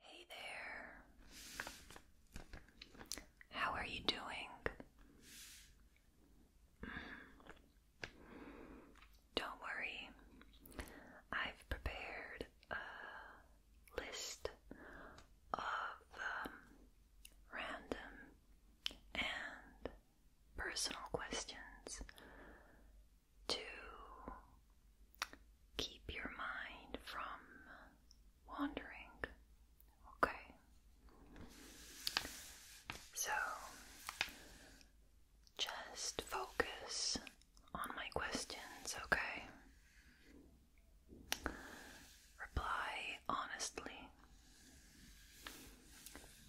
Hey there. How are you doing? Mm-hmm. Don't worry. I've prepared a list of um, random and personal questions to keep your mind from wandering. Okay. So just focus on my questions, okay? Reply honestly.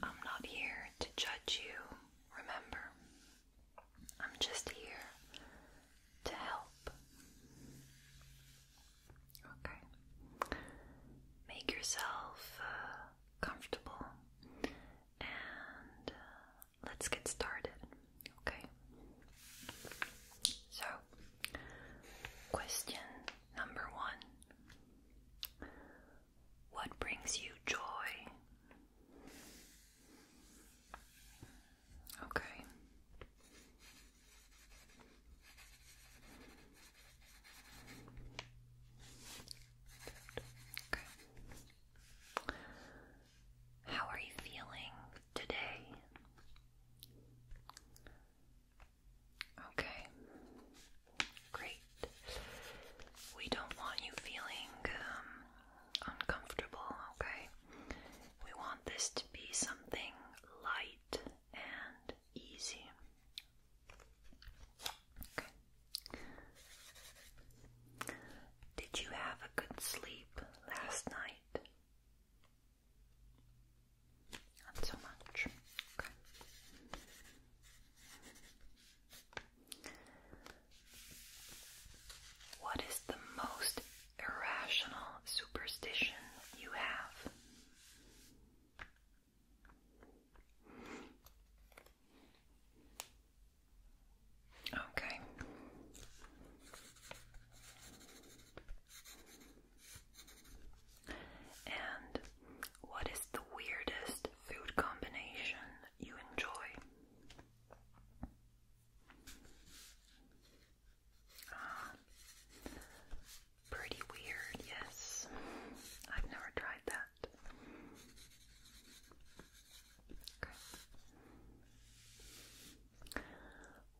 I'm not here to judge you, remember? I'm just here to help. Okay. Make yourself uh, comfortable and uh, let's get started. Okay. So, question number one What brings you joy? Okay. Okay. How are you feeling today? Okay. Great. We don't want you feeling um, uncomfortable, okay? We want this to be something light and easy. Okay. Did you have a good sleep last night? Not so much. Okay. What is the most irrational superstition you have? Okay. And what is the weirdest food combination you enjoy. Ah, pretty weird, yes. I've never tried that.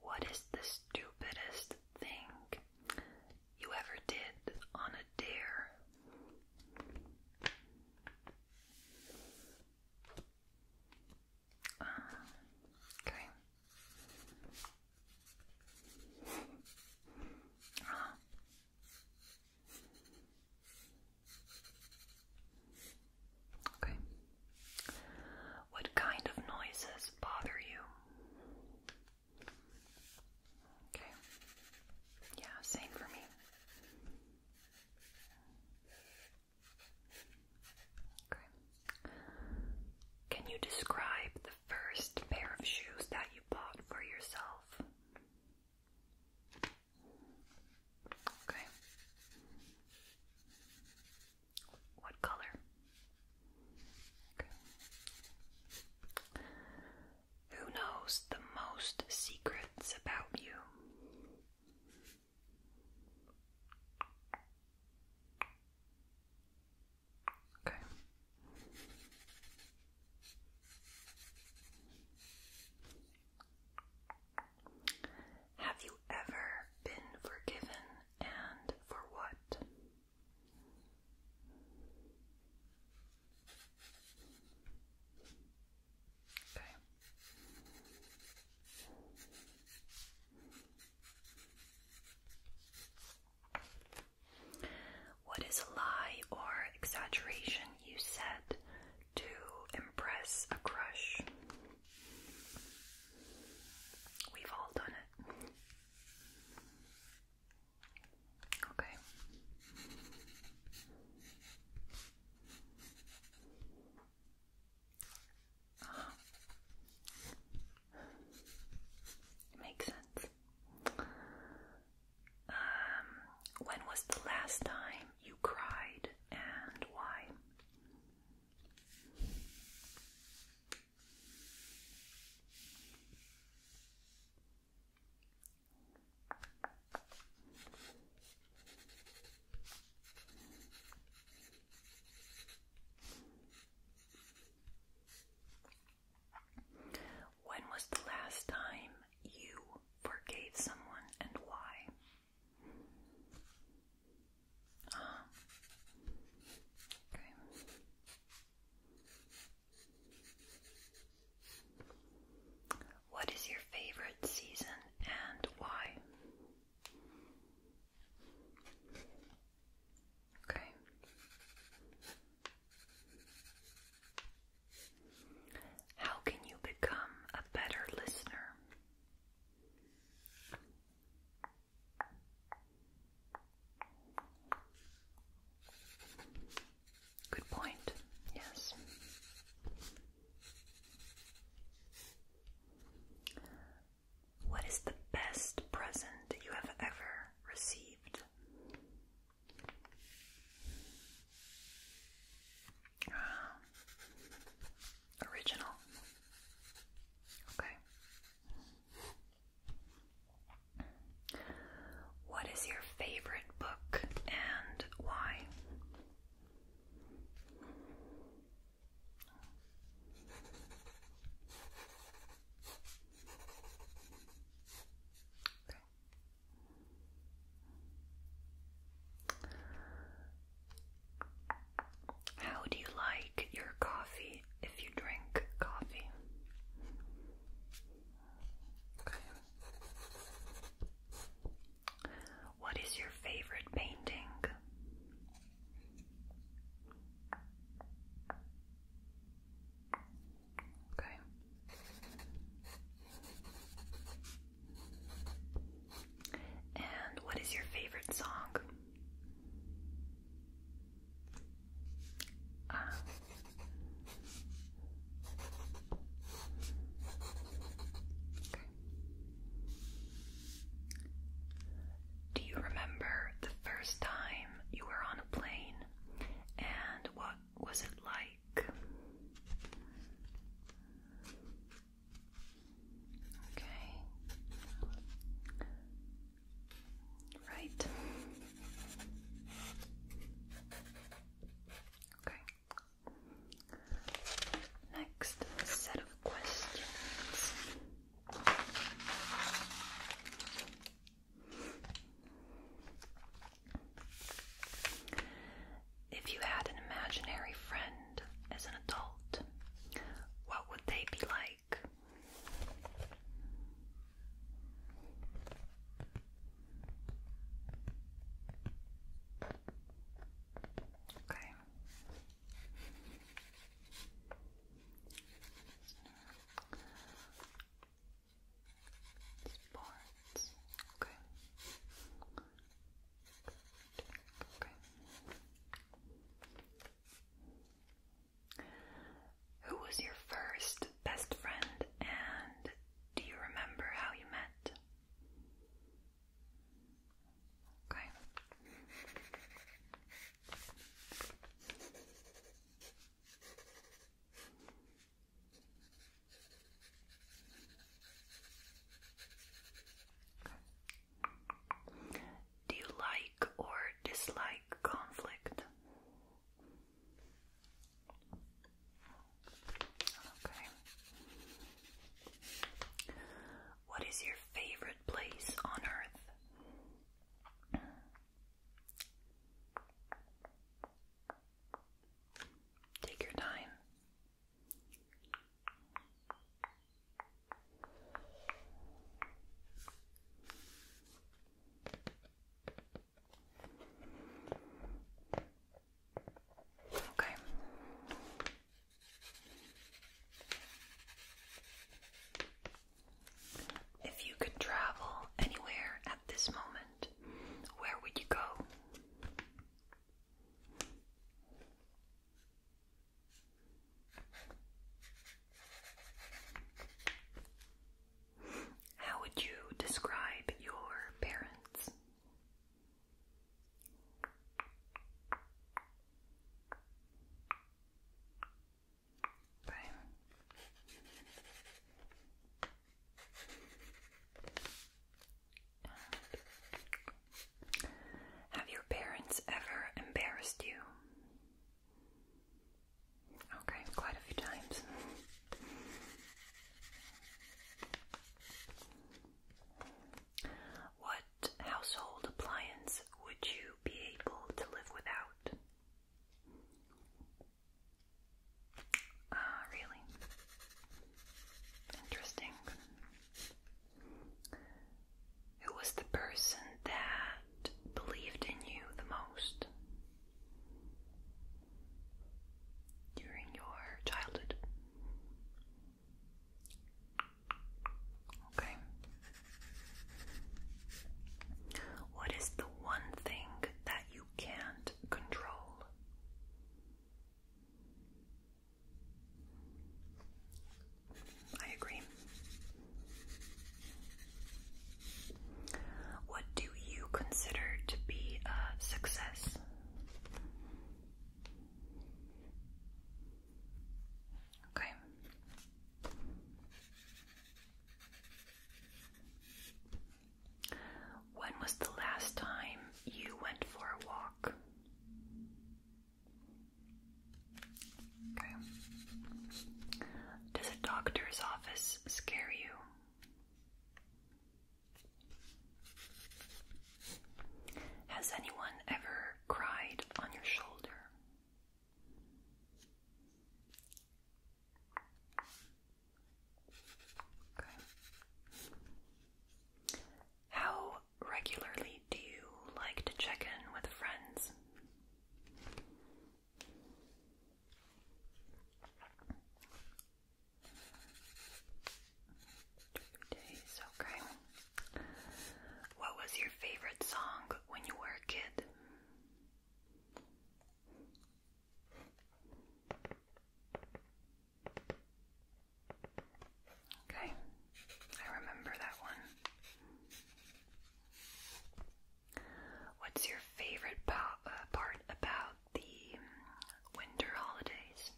What is the stupidest thing you ever did on a dare? Uh, okay. Uh. Okay. What kind of noises bother you? Okay. Yeah, same for me. Can you describe the first pair of shoes that you bought for yourself? Okay. What color? Who knows the most secrets about you? Okay. Have you ever been forgiven and for what? What is a lie or exaggeration you said to impress a crush? We've all done it. Okay. Uh-huh. makes sense. Um, when was the last time you cried and why? When was the last time you forgave someone and why? Uh, okay. What is your favorite season and why? Okay. How can you become a better listener? Good point. Yes. What is the best present you have ever received? Ah. original. Okay. What is your favorite book and why? How do you like your coffee if you drink coffee? What is your favorite painting? Okay. And what is your favorite song? Ah. Do you remember the first time you were on a plane and what was it like? Okay. Right. Okay. Next set of questions. If you had an imaginary friend as an adult, what would they be like? Okay. Sports. Okay. Okay. Who was your first best friend and do you remember how you met? Okay. Do you like or dislike conflict? Okay. Okay. What is your favorite place on earth? Take your time. Okay. If you could travel anywhere at this moment, where would you go? How would you describe your parents? Have your parents ever embarrassed you? Okay, quite a few times. What household appliance would you be able to live without? Ah, really? Interesting. Who was the person that believed in you the most during your childhood? Okay. What is the one thing that you can't control? I agree. What do you consider to be a success? Okay. When was the last time you went for a walk? Does a doctor's office scare you? Has anyone ever cried on your shoulder? How regularly do you like to check in with friends? days, okay. What was your favorite song when you were a kid? Okay, I remember that one. What's your favorite uh, part about the winter holidays?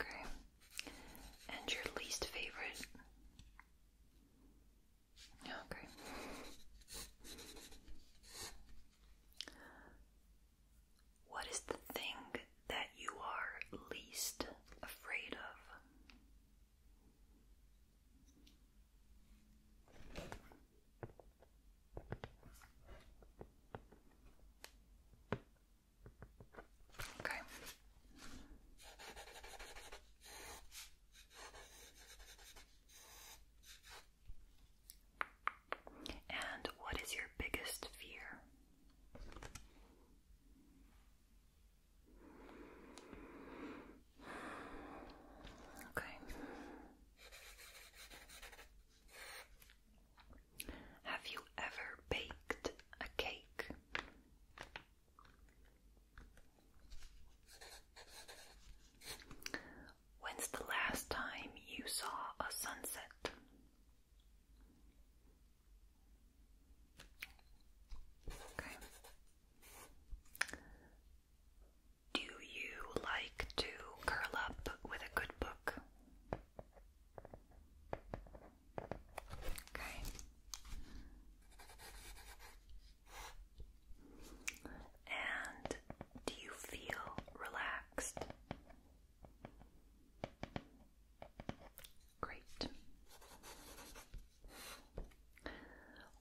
Okay. And your least favorite? Okay. What is the thing that you are least afraid of? Okay. And what is your biggest fear? Okay. Have you ever baked a cake? When's the last time you saw a sunset? Do you like to curl up with a good book? Okay. And do you feel relaxed? Great.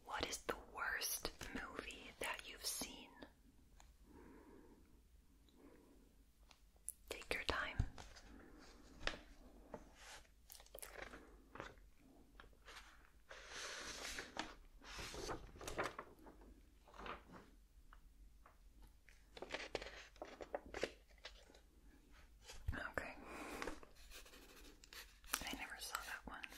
What is the worst movie that you've seen? Take your time. Okay. I never saw that one.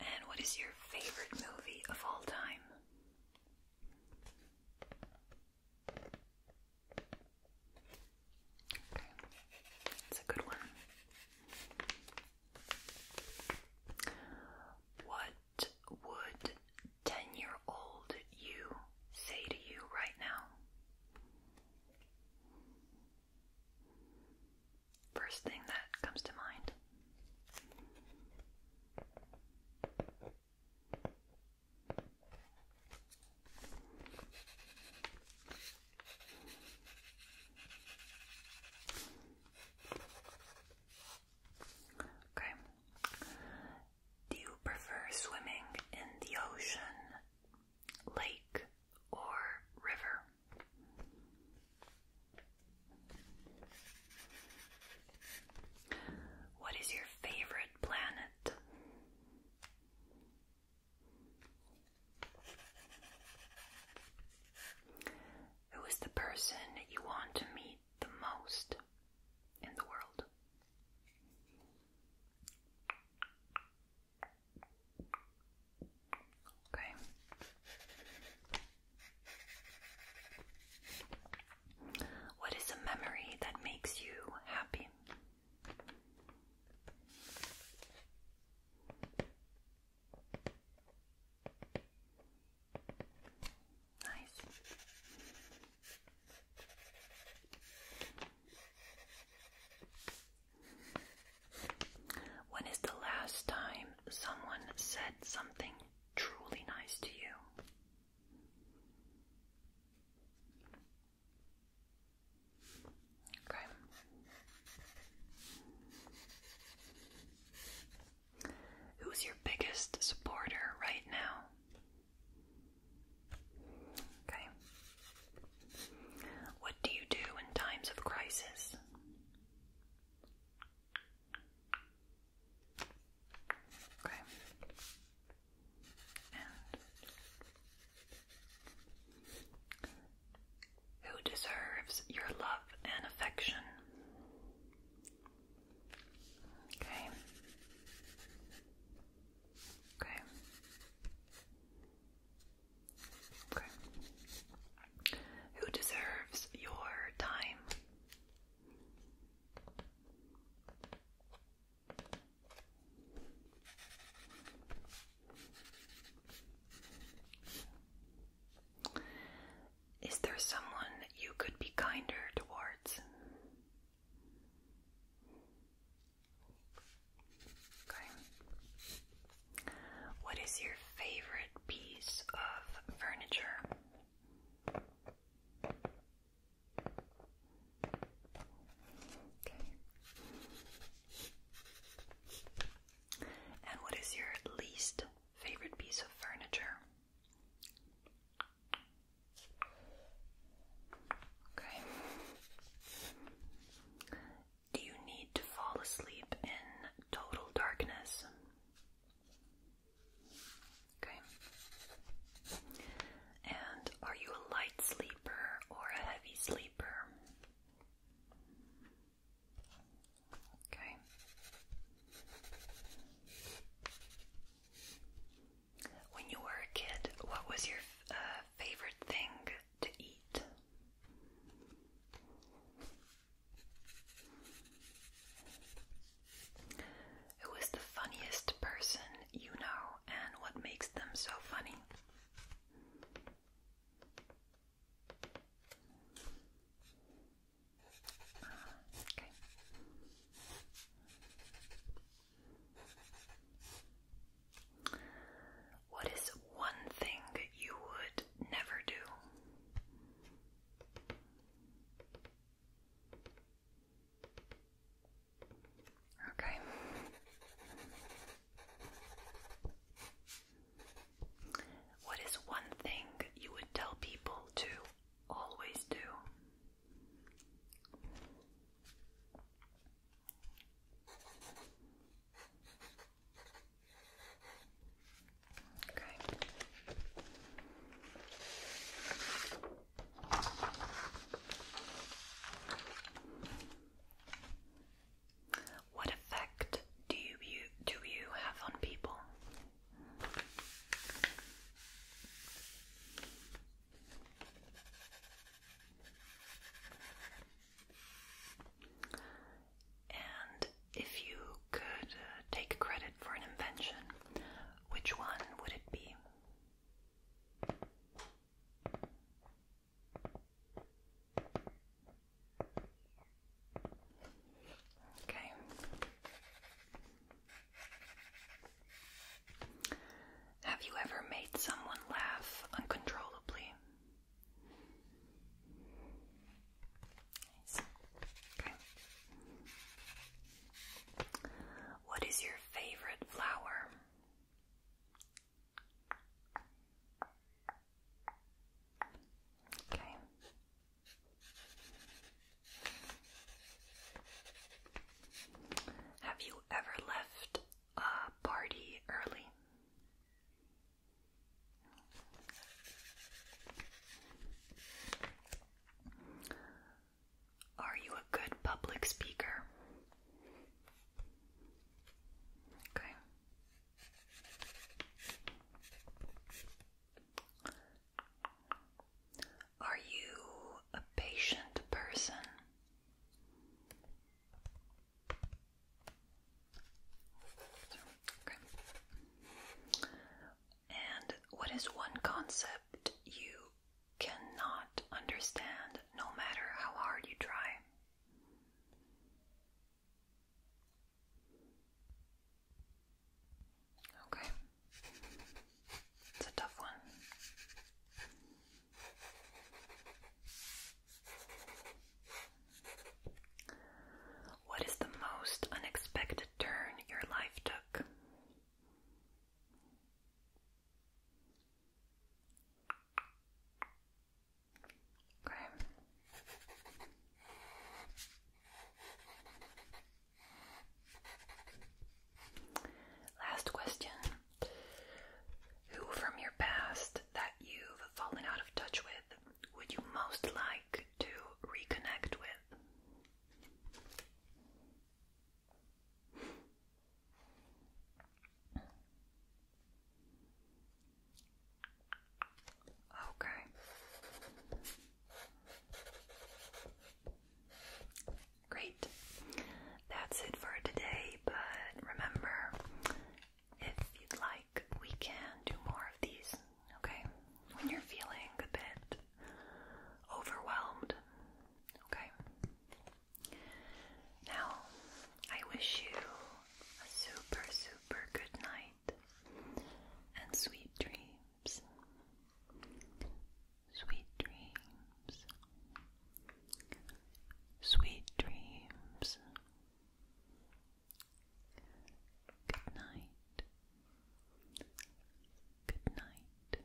And what is your favorite movie of all time? Okay. It's a good one. What what would 10 year old you say to you right now? First thing that comes to mind. Okay. Do you prefer swimming in the ocean, lake, or river? What is your favorite planet? Who is the person you want to meet the most in the world? Okay. What is a memory that makes you happy? Nice. When is the last time someone said something truly nice to you? Okay. Who's your biggest supporter right now? Okay. What do you do in times of crisis? Okay who deserves your love and affection. Okay. Okay. Okay. Who deserves your time? Is there someone you could be kinder towards? What is your favorite piece of furniture? And what is your least favorite piece of furniture? Okay. Do you need to fall asleep in total darkness? Okay. And are you a light sleeper or a heavy sleeper? Okay. When you were a kid, what was your uh, favorite thing to eat? Who is the funniest person you know and what makes them so funny? Uh, okay. What is one thing you would never do? Okay. What is one thing you would tell people to always do? Okay. What effect do you, do you have on people? And if you could uh, take credit for an invention, which one would it be? Okay. Have you ever made someone laugh uncontrollably? What is your favorite flower? Okay. Have you ever left a party early? Are you a good public speaker? Okay. Are you a patient person? And what is one concept you cannot understand no matter how hard you try? Okay. It's a tough one. What is the most unexpected turn your life took? Okay. Last question. Who from your past that you've fallen out of touch with would you most like to reconnect with? Okay. Great. That's it for today, but remember, if you'd like, we can do more of these, okay? When you're feeling a bit overwhelmed, okay? Now, I wish you a super, super good night and sweet dreams. Sweet dreams. Sweet dreams. Good night. Good night.